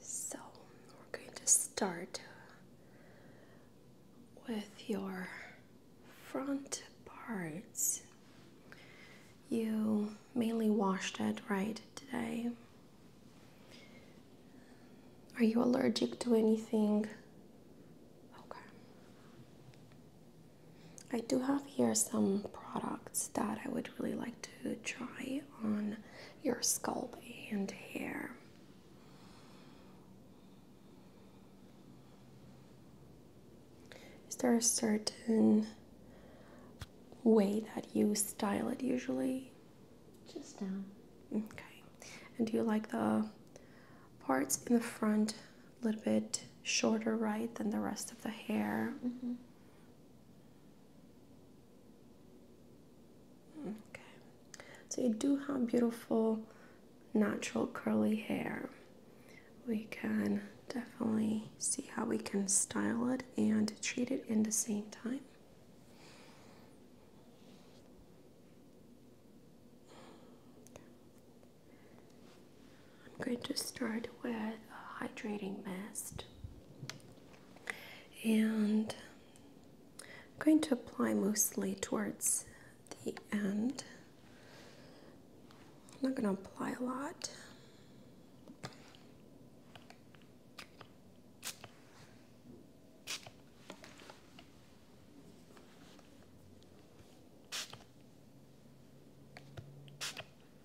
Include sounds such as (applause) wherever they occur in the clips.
So, we're going to start with your front parts. You mainly washed it right today. Are you allergic to anything? Okay. I do have here some products that I would really like to try on your scalp and hair. Is there a certain way that you style it usually? Just down. Okay. And do you like the parts in the front a little bit shorter, right, than the rest of the hair? Mm-hmm. Okay, so you do have beautiful natural curly hair. We can definitely see how we can style it and treat it in the same time. I'm going to start with a hydrating mist and I'm going to apply mostly towards the end. I'm not going to apply a lot.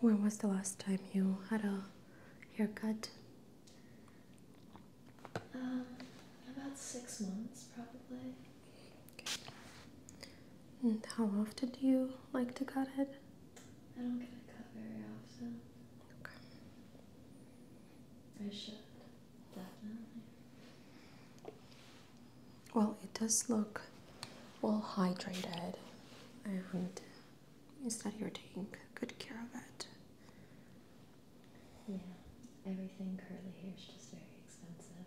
When was the last time you had a haircut? Um, about six months, probably. And how often do you like to cut it? I don't get it cut very often. Okay. I should, definitely. Well, it does look well hydrated, and it's that you're taking good care of it? Yeah, everything curly hair is just very expensive.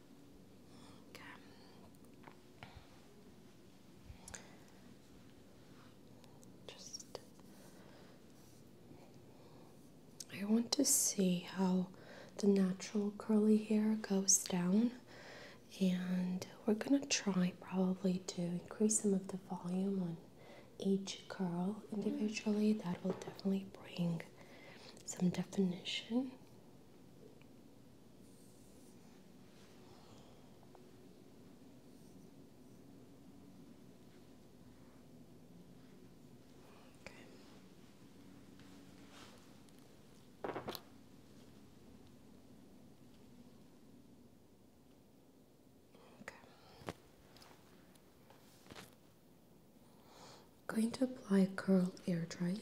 Okay. Just I want to see how the natural curly hair goes down, and we're going to try probably to increase some of the volume on each curl individually. That will definitely bring some definition. I'm going to apply curl air dry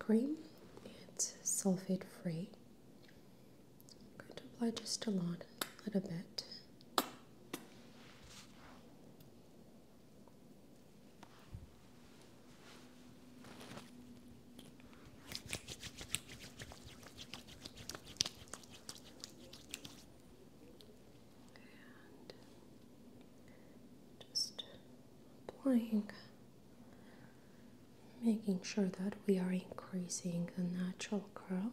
cream it's sulfate free. I'm going to apply just a lot, a little bit. just applying making sure that we are increasing the natural curl.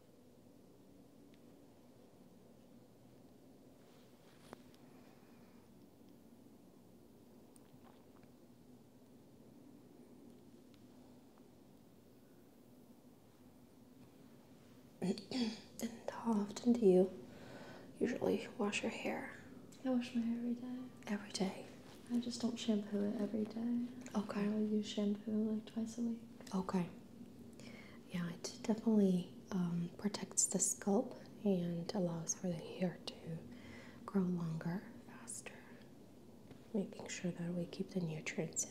(clears throat) how often do you usually wash your hair? I wash my hair every day. Every day? I just don't shampoo it every day. Okay. I use shampoo like twice a week. Okay. Yeah, it definitely um, protects the scalp and allows for the hair to grow longer, faster, making sure that we keep the nutrients in.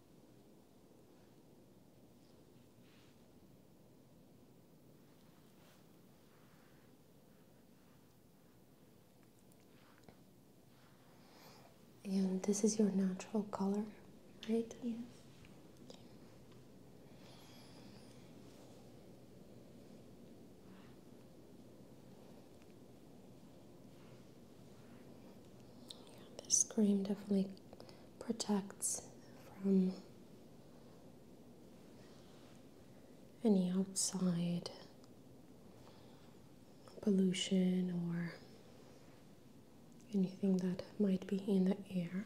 And this is your natural color, right? Yes. Yeah, this cream definitely protects from any outside pollution or anything that might be in the air.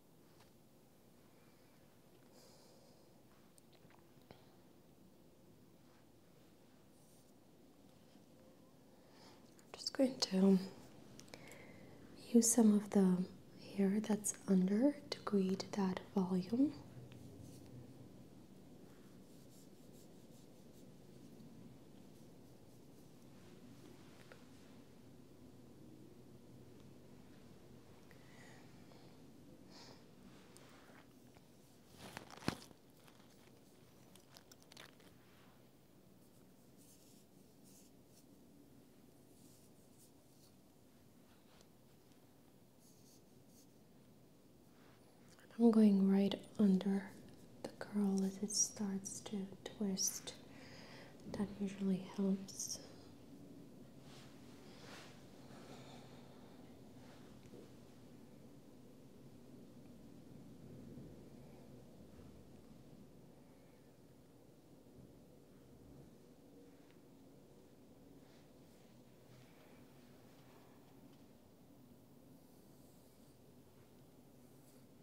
I'm just going to use some of the hair that's under to create that volume. I'm going right under the curl as it starts to twist. That usually helps.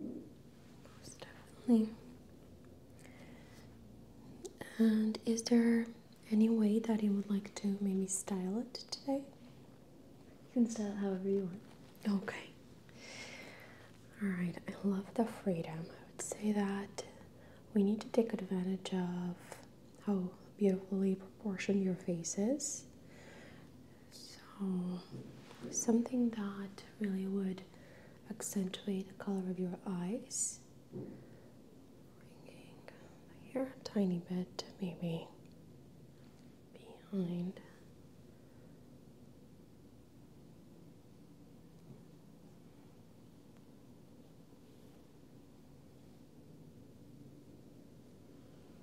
Okay. Most definitely. And is there any way that you would like to maybe style it today? You can style it however you want. Okay. Alright, I love the freedom. I would say that we need to take advantage of how beautifully proportioned your face is so, something that really would accentuate the color of your eyes. Bringing here a tiny bit, maybe behind.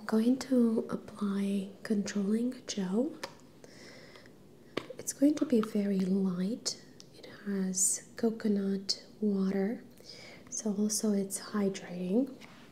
I'm going to apply controlling gel. It's going to be very light. It has coconut water, so also it's hydrating.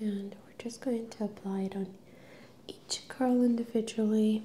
and we're just going to apply it on each curl individually.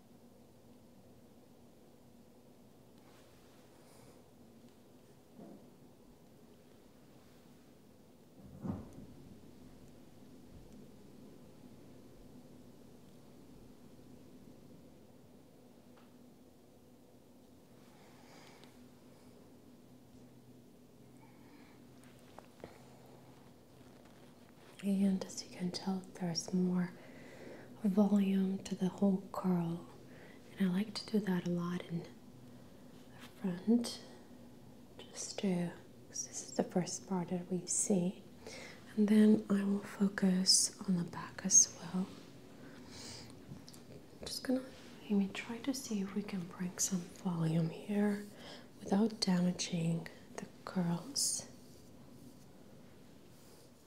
And as you can tell, there's more volume to the whole curl. And I like to do that a lot in the front, just to, because this is the first part that we see. And then I will focus on the back as well. just gonna maybe try to see if we can bring some volume here without damaging the curls.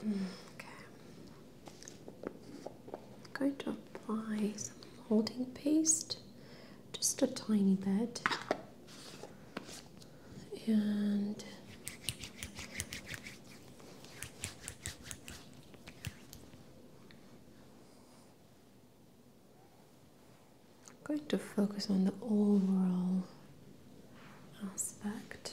I'm going to apply some holding paste, just a tiny bit, and I'm going to focus on the overall aspect.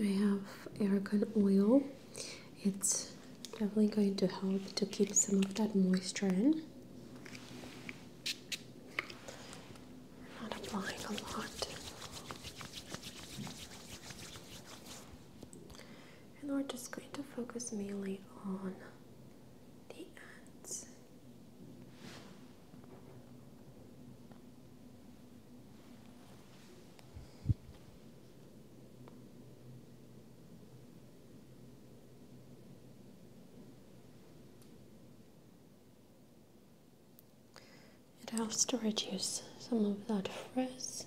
Okay, I have argan oil. It's definitely going to help to keep some of that moisture in. not applying a lot and we're just going to focus mainly on the ends. It helps to reduce some of that frizz.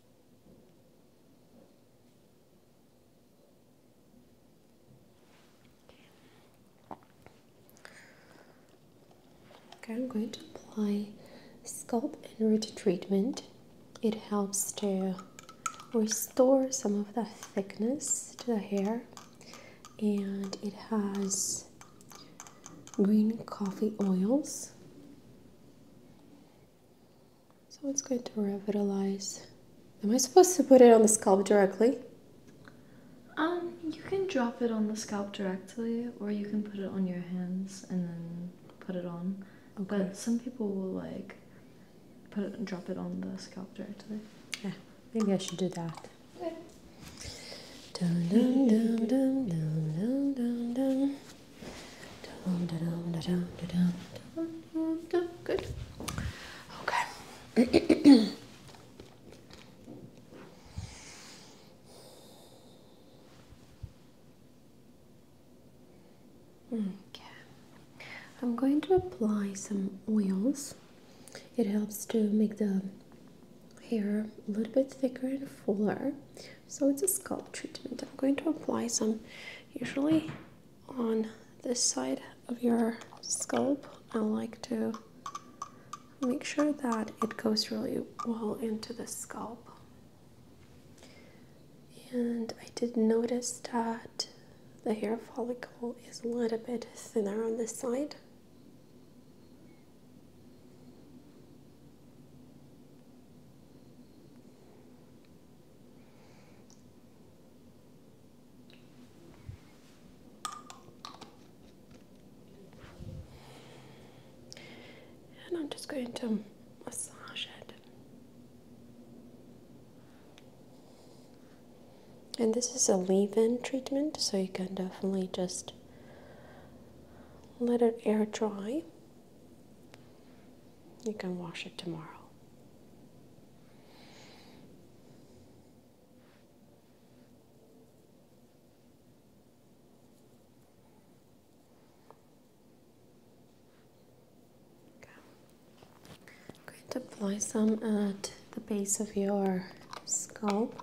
Okay, I'm going to apply scalp and root treatment. It helps to restore some of the thickness to the hair, and it has green coffee oils. So it's going to revitalize. Am I supposed to put it on the scalp directly? Um, you can drop it on the scalp directly, or you can put it on your hands and then put it on. Okay. But some people will like put it, drop it on the scalp directly. Yeah, maybe I should do that. Okay. Good. Okay. okay. I'm going to apply some oils. It helps to make the hair a little bit thicker and fuller so it's a scalp treatment. I'm going to apply some usually on this side of your scalp. I like to make sure that it goes really well into the scalp. And I did notice that the hair follicle is a little bit thinner on this side. And I'm just going to massage it. And this is a leave in treatment, so you can definitely just let it air dry. You can wash it tomorrow. going to apply some at the base of your scalp.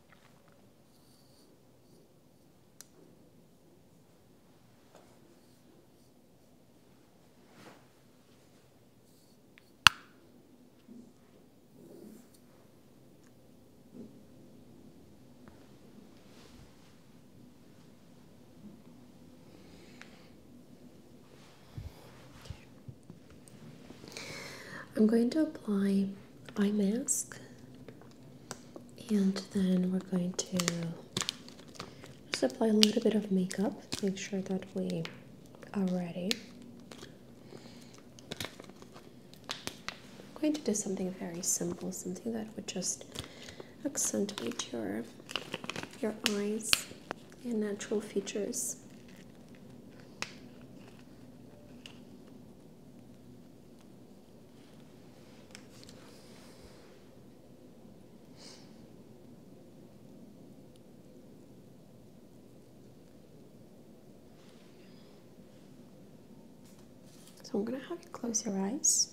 I'm going to apply eye mask and then we're going to just apply a little bit of makeup make sure that we are ready I'm going to do something very simple something that would just accentuate your your eyes and natural features so I'm going to have you close your eyes.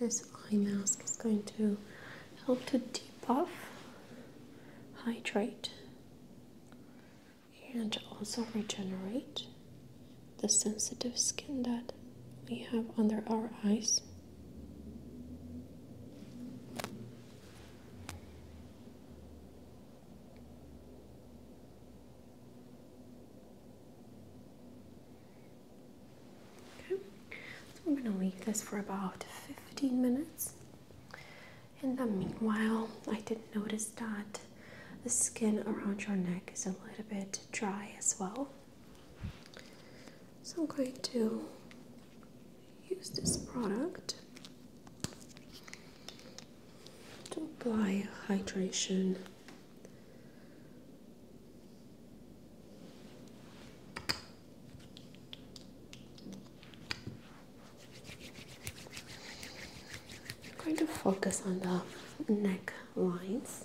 This eye mask is going to help to deep off, hydrate, and also regenerate the sensitive skin that we have under our eyes. Okay, so I'm going to leave this for about 15 minutes. In the meanwhile, I did notice that the skin around your neck is a little bit dry as well. So I'm going to use this product to apply hydration. I'm going to focus on the neck lines.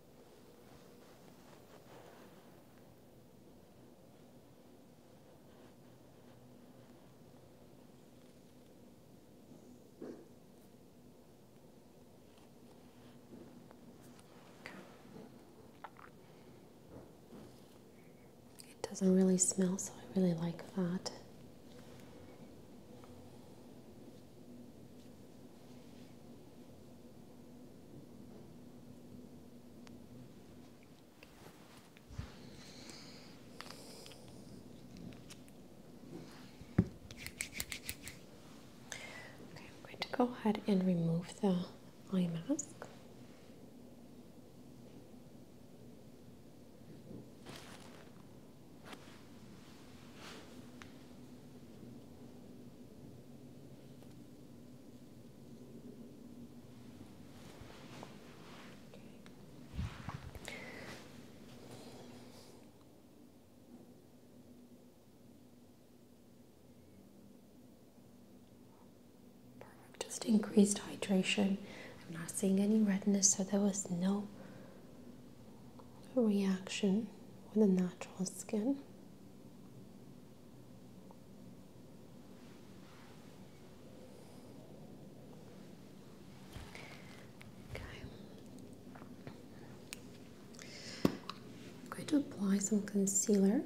It doesn't really smell, so I really like that. Okay, I'm going to go ahead and remove the eye mask. Just increased hydration. I'm not seeing any redness, so there was no reaction with the natural skin. I'm going to apply some concealer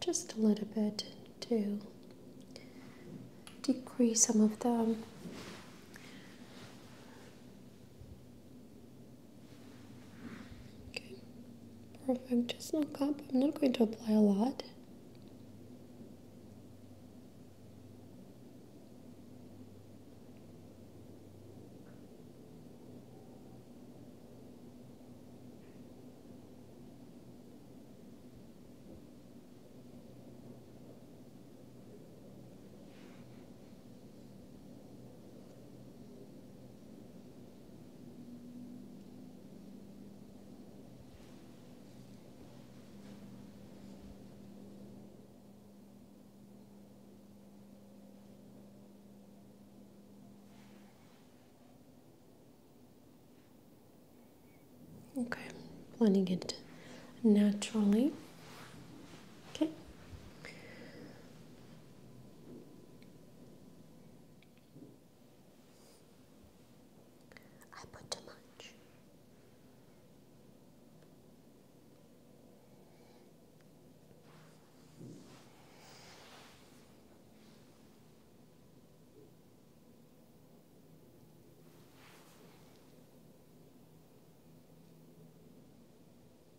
just a little bit to decrease some of the Okay, perfect. Just look cup. I'm not going to apply a lot. Okay, blending it naturally. Okay. I put too much.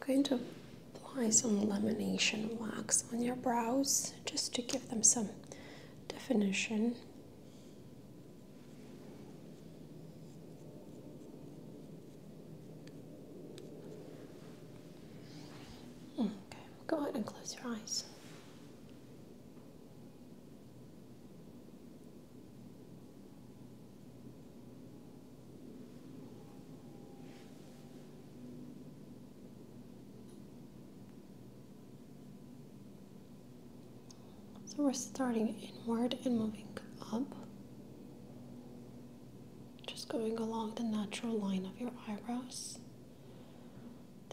I'm going to apply some lamination wax on your brows just to give them some definition. Okay, go ahead and close your eyes. So we're starting inward and moving up. Just going along the natural line of your eyebrows.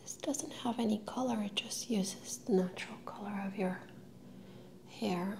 This doesn't have any color, it just uses the natural color of your hair.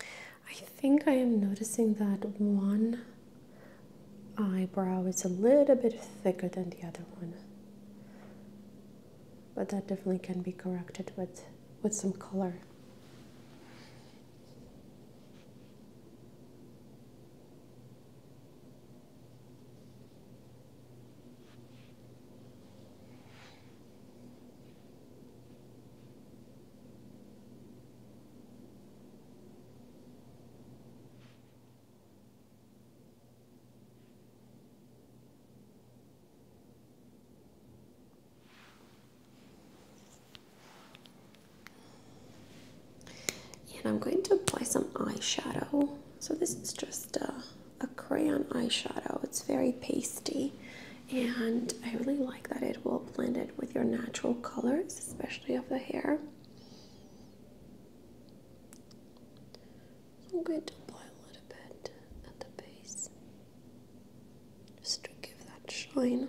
I think I am noticing that one eyebrow is a little bit thicker than the other one. But that definitely can be corrected with with some color. And I'm going to apply some eyeshadow. So this is just a, a crayon eyeshadow. It's very pasty and I really like that it will blend it with your natural colors, especially of the hair. I'm going to apply a little bit at the base just to give that shine.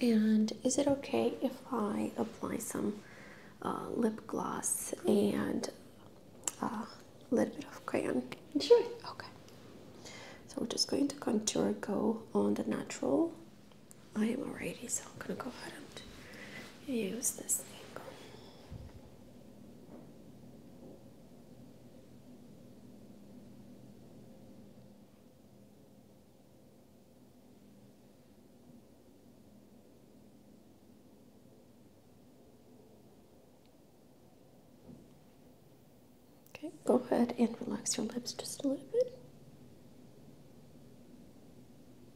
And is it okay if I apply some uh, lip gloss and uh, a little bit of crayon? Sure. Okay. So we're just going to contour go on the natural I am alrighty, so I'm gonna go ahead and use this thing. Okay, go ahead and relax your lips just a little bit.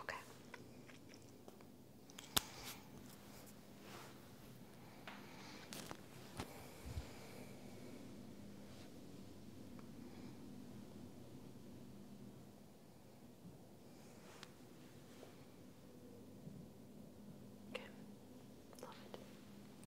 Okay. Okay. Love it.